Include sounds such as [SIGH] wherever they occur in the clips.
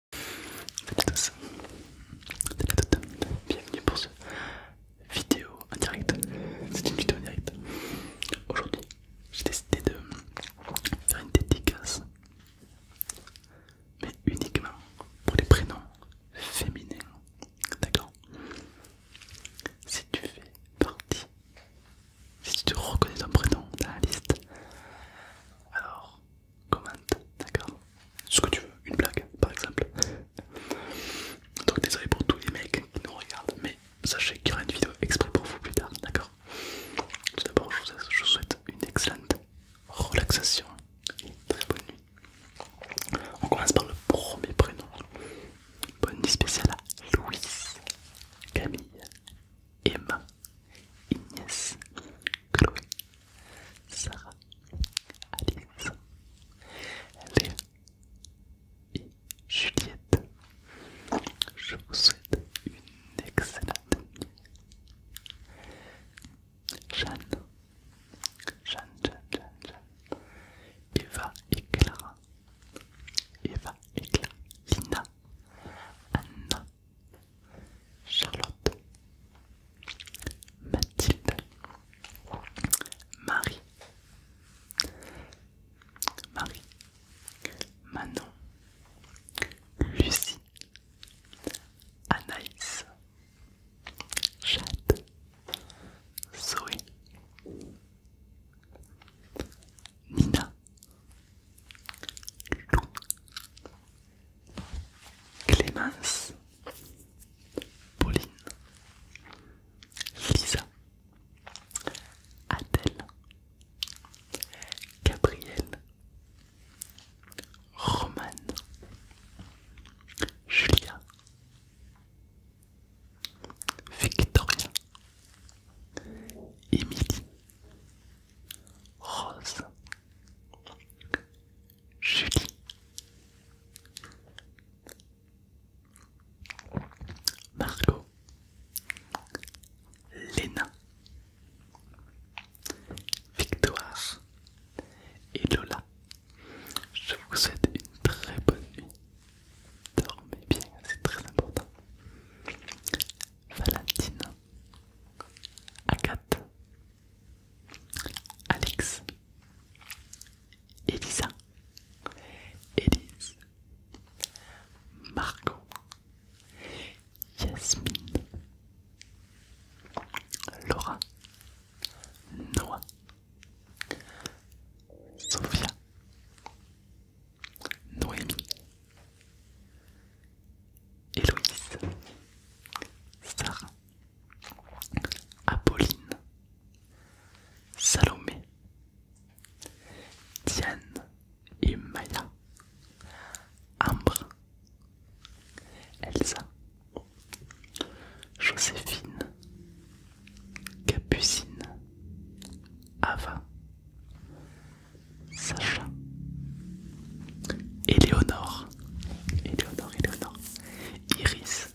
Salut à tous, salut à toutes, bienvenue pour ce vidéo en direct. C'est une vidéo en direct. Aujourd'hui, j'ai décidé de faire une dédicace, mais uniquement pour les prénoms féminins. D'accord Si tu fais partie, si tu reconnais ton prénom dans la liste, alors commente, d'accord Ce que tu veux, une blague par exemple. Donc désolé pour tous les mecs qui nous regardent, mais sachez qu'il y aura une vidéo exprès pour vous plus tard, d'accord Tout d'abord, je, vous souhaite une excellente relaxation, une très bonne nuit. On commence par le premier prénom. Bonne nuit spéciale à Louise, Camille, Emma, Inès, Chloé, Sarah Alice Léa et Juliette. Je vous souhaite une excellente nuit. Jeanne, Jeanne, Eva et Clara, Eva et Clara, Lina, Anna, Charlotte, Mathilde, Marie, Marie, Manon, Lucie, Anaïs, Jade, Zoé, Nina, Clémence, Pauline, Lisa, Adèle, Gabrielle, Romane, Julia, Victoria, Émilie, Rose, Julie. Margot. Léna. Victoire. Et Lola. Je vous souhaite une très bonne nuit. Dormez bien, c'est très important. Valentine. Agathe. Alex, Elisa, Elise, Marco, Yasmine, Laura, Noah, Sophia, Noémie, Héloïse, Sarah, Apolline, Salomé, Diane et Maya, Ambre, Elsa, Joséphine, Capucine, Ava, Sacha, Éléonore, Éléonore, Éléonore, Iris,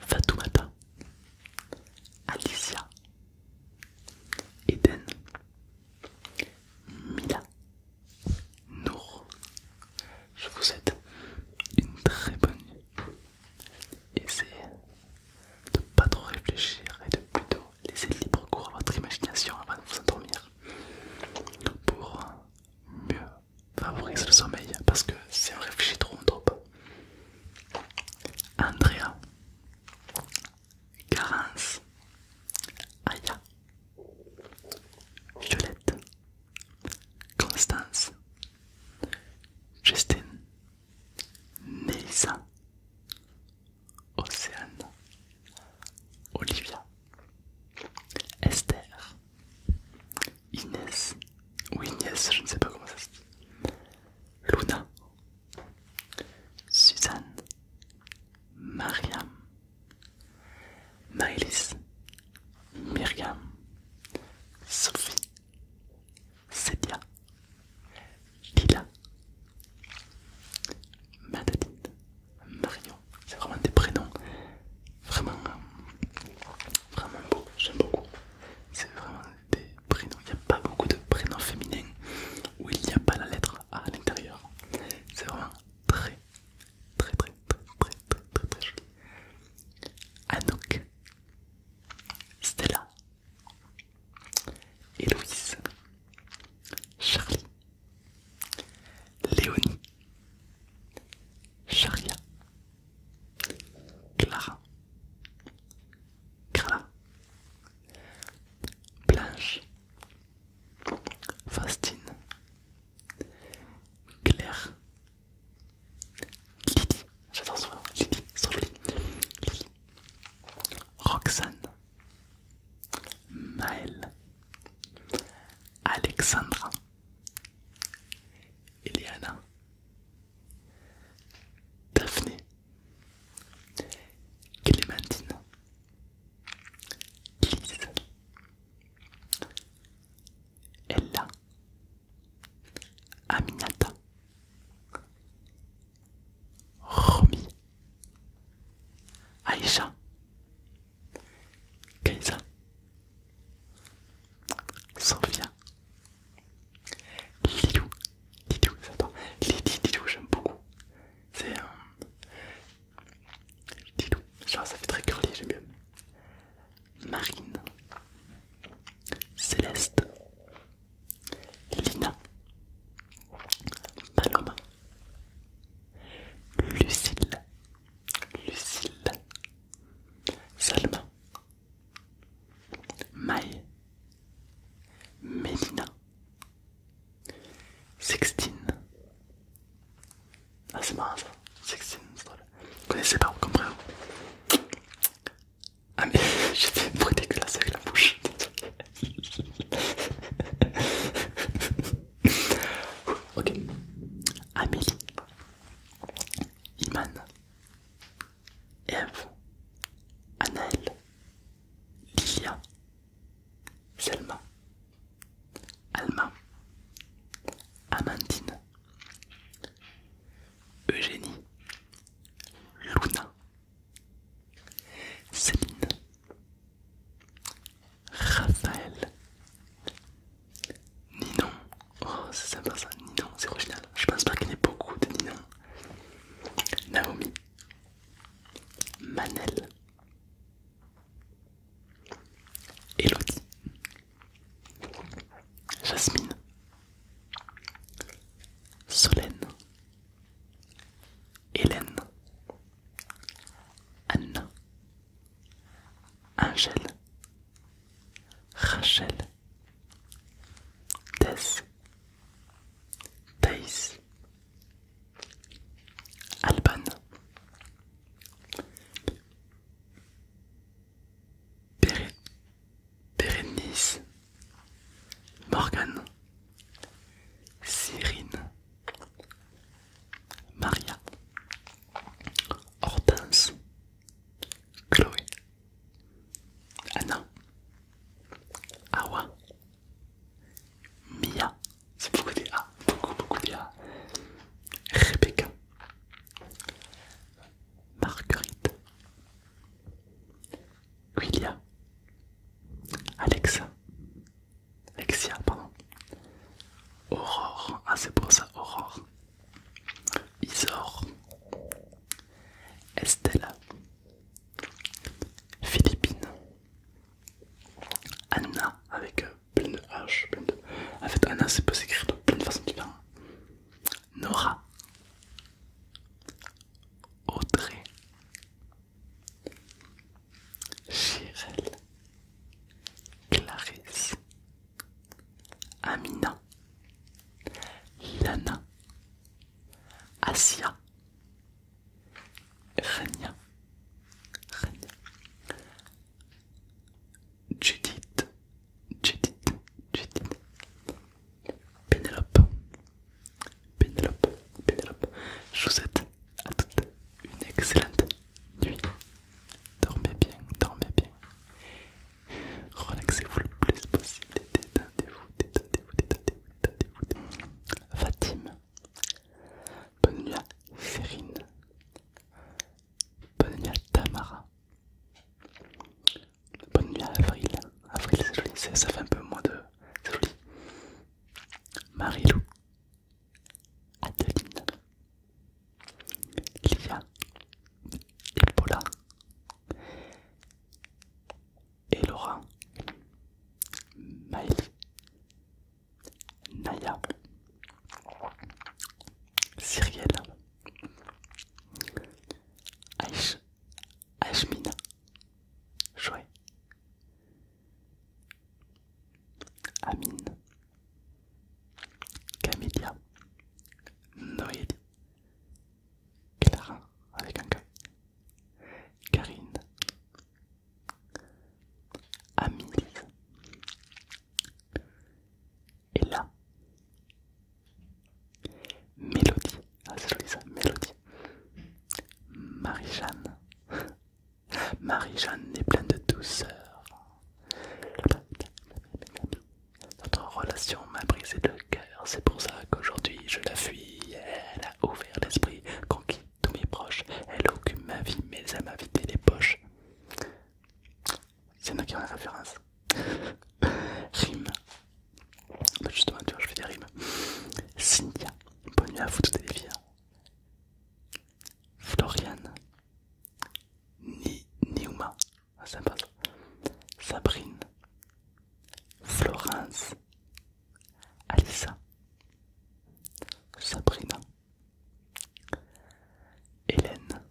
Fatoumata, Alicia, Eden, Mila, Nour. Je vous souhaite une très bonne nuit. Essayez de pas trop réfléchir et de plutôt laissez libre cours à votre imagination avant de vous endormir pour mieux favoriser le sommeil parce que si on réfléchit trop on Andrea, Carence, Aya, Violette, Constance, Justine, Nélisa. Océane, Olivia, Esther, Inès, ou Inès, je ne sais pas comment ça se dit, Luna, Suzanne, Mariam, Maëlys, Myriam, Sophie, Cédia, Lila, Madeline, Marion, c'est vraiment des prénoms vraiment, vraiment beaux, j'aime beaucoup. C'est vraiment des prénoms, il n'y a pas beaucoup de prénoms féminins où il n'y a pas la lettre A à l'intérieur. C'est vraiment très, très, très, très, très, très, très, très joli. Anouk, Stella, Héloïse, Charlie, Léonie, Charia, Clara, Carla, Blanche, Fastine, Claire, Kitty j'adore ce nom, Lily, Sophie, Kitty Roxanne. Maëlle, Alexandra, Eliana, Daphné, Clémentine, Ella, Aminata, Romy. Aïcha, Kaisa, Sophia, Lidou Lidou c'est toi, Lili, j'aime beaucoup. C'est un. Lidou genre ça fait très curly, j'aime bien. Marine, Céleste, Lina, Paloma, Lucille, Lucille, Salma, Maï, Mélina, Sextine. Ah, c'est marrant ça, Sextine, c'est drôle. Vous connaissez pas, vous comprenez Ah, mais [LAUGHS] j'ai fait une bruit dégueulasse avec la bouche. [LAUGHS] ok. Amélie. Imane, Eve. Anaël. Lilia. Selma. Alma. Amandine. Eugénie. Luna. Céline. Raphaël. Ninon. Oh, c'est sympa ça, Ninon, c'est original. Je pense pas qu'il y ait beaucoup de Ninon. Naomi. Manel. Elodie. Jasmine. Solène. Hélène. Anna, Angel, Angèle, Rachel, Tess, Thaïs, Alban, Bérénice, Morgane. Cyrine, Maria, Hortense, Chloé, Anna, Awa, Mia, c'est beaucoup des A, beaucoup beaucoup des A, Rebecca, Marguerite, Quilia, Alexa, Alexia, pardon, Aurore, ah c'est pour ça, Aurore, Isor, Estella, Philippine, Anna avec euh, plein de H, plein de... en fait Anna c'est peut s'écrire de plein de façons différentes, Nora, Audrey, Chirel, Clarisse, Amina, Lana, Asia, Rania, Rania, Judith, Judith, Judith, Pénélope, Pénélope, Pénélope, je vous souhaite à toutes une excellente nuit. Dormez bien, dormez bien. Relaxez-vous le plus possible. Détendez-vous, détendez-vous, détendez-vous, détendez-vous. Fatim, bonne nuit à Sérine, bonne nuit à Tamara, bonne nuit à Avril. Avril, c'est joli, ça fait un peu moins de. C'est joli. Marilou, Adeline, Lia et Elora, et Maëlie, Naya, Cyrielle, Aïch, Aïchmina, Joël, Amine, Camélia, Noélie, Clara avec un K, Karine, et Ella, Mélodie, ah c'est ça, Mélodie, Marie-Jeanne. [LAUGHS] Marie-Jeanne est pleine de douceur. Notre relation m'a brisé le cœur, c'est pour ça qu'aujourd'hui je la fuis. Elle a ouvert l'esprit, conquis tous mes proches. Elle occupe ma vie, mais elle m'a vidé les poches. C'est nous qui avons la référence. [LAUGHS] Rime bah justement, tu vois, je fais des rimes. Cynthia, bonne nuit à vous toutes les filles. Hein. Floriane, Ni Niuma, sympa ah, Sabrine, Florence, Alissa, Sabrina, Hélène,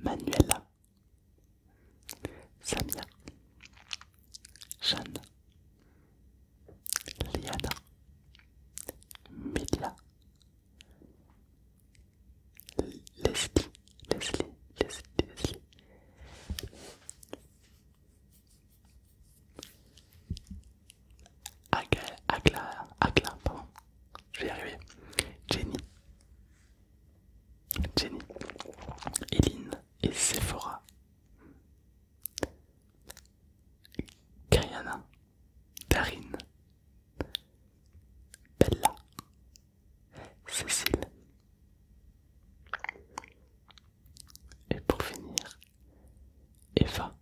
Manuela, Samia, Jeanne, Liana, Mila, Leslie, Leslie, Leslie, Agla, je vais arriver. Jenny, Jenny, Eline, et Sephora. Kayana, Darine, Bella, Cécile. Et pour finir, Eva,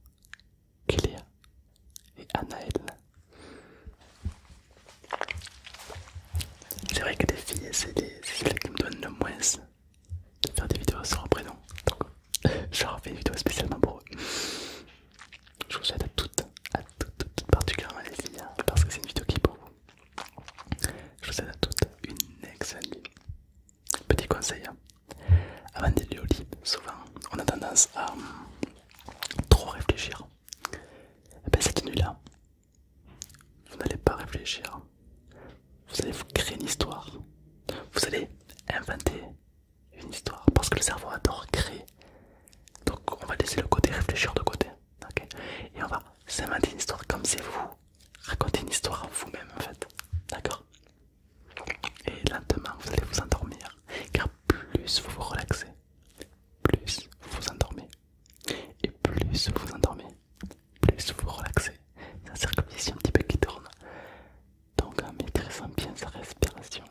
Cléa et Anaël. C'est vrai que les filles, c'est filles qui me donnent le moins de faire des vidéos sans prénom. [LAUGHS] une vidéo spécialement pour eux. Je vous souhaite à toutes, à toutes, toutes, toutes particulièrement les filles, hein, parce que c'est une vidéo qui est pour vous. Je vous souhaite à toutes une excellente nuit. Petit conseil, hein. avant d'aller au lit, souvent on a tendance à hum, trop réfléchir. Et eh ben, cette nuit-là, vous n'allez pas réfléchir. Vous allez vous créer une histoire. Vous allez inventer une histoire. Parce que le cerveau adore créer. Donc on va laisser le côté réfléchir de côté. Et on va s'inventer une histoire comme si vous racontez une histoire à vous-même en fait. D'accord Et lentement vous allez vous endormir. Car plus vous vous relaxez, plus vous vous endormez. Et plus vous endormez, plus vous vous relaxez. C'est la ici un petit peu qui tourne. Donc en maîtrisant bien sa respiration,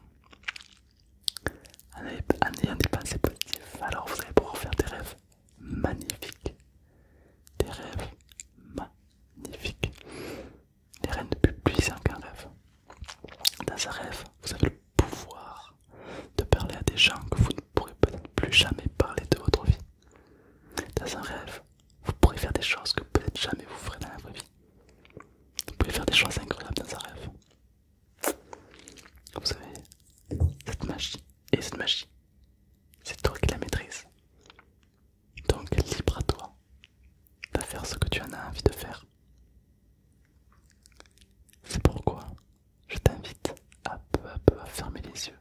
en ayant des pensées positives, alors vous allez pouvoir faire des rêves magnifiques. Des rêves magnifiques. des rêves de plus puissant qu'un rêve. Dans un rêve, vous avez le pouvoir de parler à des gens que vous ne pourrez peut-être plus jamais parler de votre vie. Dans un rêve, vous pourrez faire des choses que peut-être jamais vous ferez dans la vraie vie. Vous pouvez faire des choses incroyables dans un rêve. Vous savez, cette magie, et cette magie, c'est toi qui la maîtrises. Donc libre à toi de faire ce que tu en as envie de faire. C'est pourquoi je t'invite à peu à peu à fermer les yeux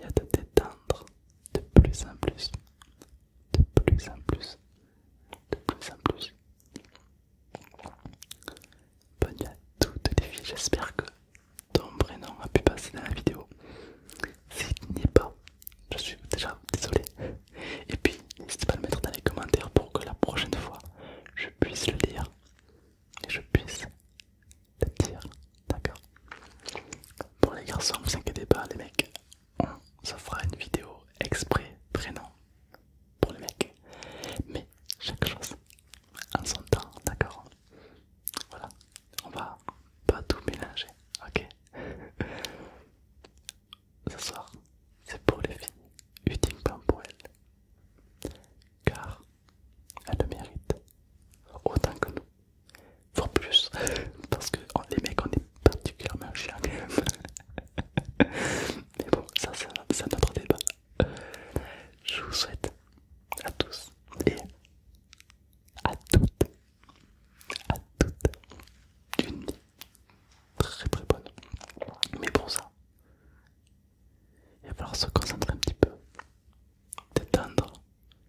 et à te détendre de plus en plus, de plus en plus, de plus en plus. Bonne à toutes les filles, j'espère que ton prénom a pu passer dans la vidéo. S'il n'y est pas, je suis déjà désolé. Et puis, n'hésite pas à le mettre dans les commentaires pour que la prochaine fois je puisse le lire et je puisse te dire, d'accord Pour les garçons, vous inquiétez pas, les mecs, on se fera une vidéo exprès prénom pour les mecs, mais chaque chose en son temps, d'accord Voilà, on va pas tout mélanger, ok Ce soir, c'est pour les filles, ultime plan pour elles, car elle le mérite autant que nous, voire plus, parce que oh, les mecs on est particulièrement chiens Mais bon, ça c'est un autre débat. Je vous souhaite à tous et à toutes, à toutes, une très très bonne. Mais pour ça, il va falloir se concentrer un petit peu, détendre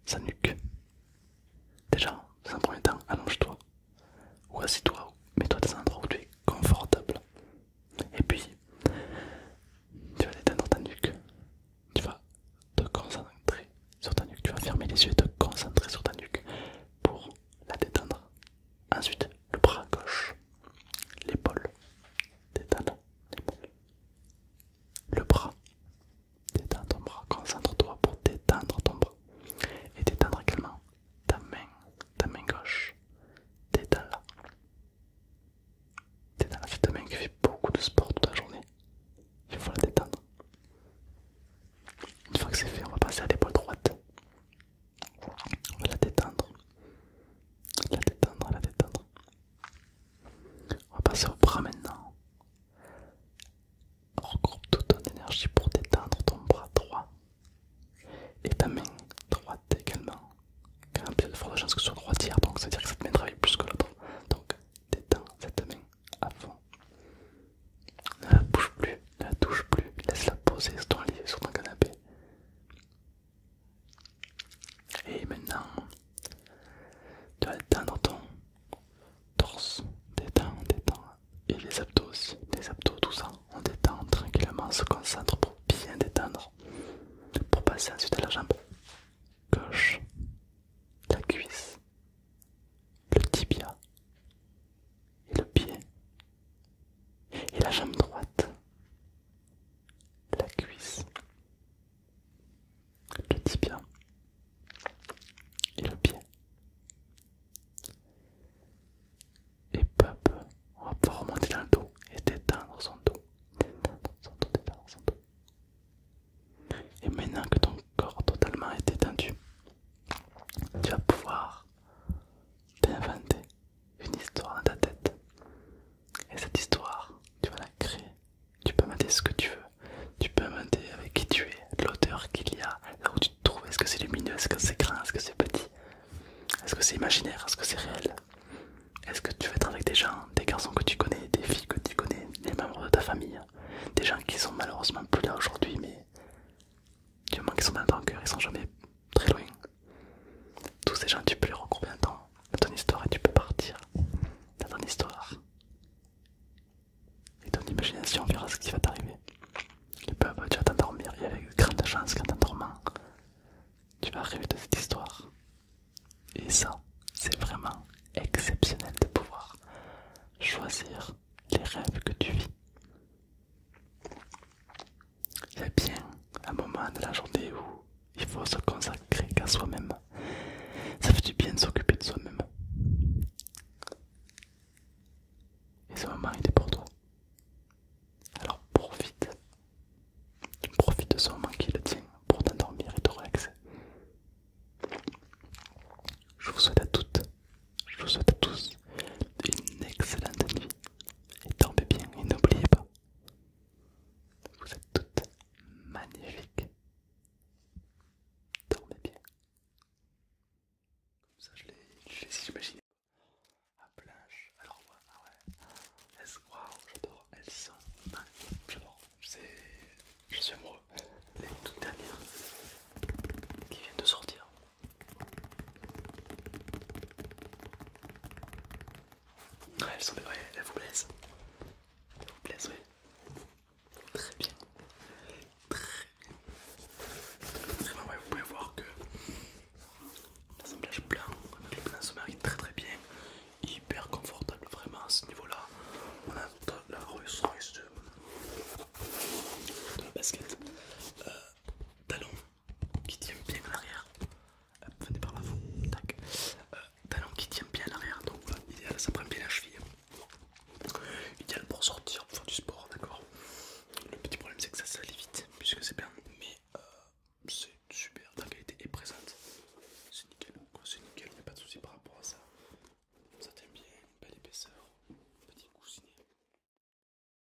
sa nuque. Déjà, dans un premier temps, allonge-toi ou assis-toi mets-toi dans un endroit où tu es confortable. Et puis, tu vas détendre ta nuque, tu vas te concentrer sur ta nuque, tu vas fermer les yeux et te concentrer sur ta nuque pour la détendre. Ensuite, le bras gauche, l'épaule, détends l'épaule, le bras, détends ton bras, concentre-toi pour détendre ton bras et détendre également ta main, ta main gauche, détends-la, détends-la, c'est ta main qui fait beaucoup de sport toute la journée, il faut la détendre. Une fois que c'est fait, on va passer à l'épaule droite. On va la détendre. La détendre, la détendre. On va passer au bras maintenant. Regroupe toute ton énergie pour détendre ton bras droit. Et ta main droite également. Quand il y a de fortes chances que ce soit droitière, donc ça veut dire que cette main travaille plus que l'autre. Donc détends cette main à fond. Ne la bouge plus, ne la touche plus, laisse-la poser sur ton lit, sur ton canapé. Et maintenant, tu vas détendre ton torse, détends, détends, et les abdos aussi, les abdos, tout ça. On détend tranquillement, on se concentre pour bien détendre, pour passer ensuite à la jambe gauche, la cuisse, le tibia et le pied, et la jambe droite, la cuisse, le tibia et le pied. Et peu on va pouvoir remonter dans le dos et détendre son dos, détendre son dos, détendre son dos. Et maintenant que ton corps totalement est détendu, tu vas pouvoir t'inventer une histoire dans ta tête. Et cette histoire, tu vas la créer. Tu peux inventer ce que tu veux. Tu peux inventer avec qui tu es, l'auteur qu'il y a, là où tu te trouves. Est-ce que c'est lumineux Est-ce que c'est grand Est-ce que c'est petit Est-ce que c'est imaginaire Est-ce que c'est réel Est-ce que tu veux être avec des gens, des garçons que tu connais, des filles que tu connais, des membres de ta famille, des gens qui sont malheureusement plus là aujourd'hui, mais du moment qu'ils sont dans ton cœur, ils sont jamais très loin. Tous ces gens, tu peux les regrouper dans ton histoire et tu peux partir dans ton histoire. Et ton imagination verra ce qui va t'arriver. à tu vas t'endormir et avec grande chance qu'en t'endormant, tu vas rêver de cette histoire. Et ça, c'est vraiment exceptionnel de pouvoir choisir les rêves que tu vis. Il y a bien un moment de la journée où il faut se consacrer qu'à soi-même. Ça fait du bien de s'occuper de soi-même. Et ce moment, il est pour toi. Alors profite. Profite de ce moment qui le tient pour t'endormir et te relaxer. Je vous souhaite à toutes, je vous souhaite à tous une excellente nuit et dormez bien et n'oubliez pas, vous êtes toutes magnifiques. Dormez bien. Comme ça je l'ai si j'imaginais. Ah, à planche, alors ouais, ah ouais. Elles, wow, j'adore, elles sont magnifiques. J'adore, je suis amoureux. Les toutes dernières qui viennent de sortir. Elle elles vous plaise. Elle vous plaise oui. Très bien. Très bien. Très bien, vous pouvez voir que l'assemblage blanc le blanc se très très bien. Hyper confortable, vraiment à ce niveau-là. On a la ressource de, la basket. Euh, talon qui tient bien à l'arrière. Euh, venez par l'avant euh, qui tient bien à l'arrière, donc voilà, idéal, ça prend bien la cheville. Idéal pour sortir, pour faire du sport, d'accord. Le petit problème c'est que ça salit vite, puisque c'est bien, mais euh, c'est super, la qualité est présente. C'est nickel, c'est nickel, il a pas de souci par rapport à ça. Ça tient bien, belle épaisseur, petit coussinet.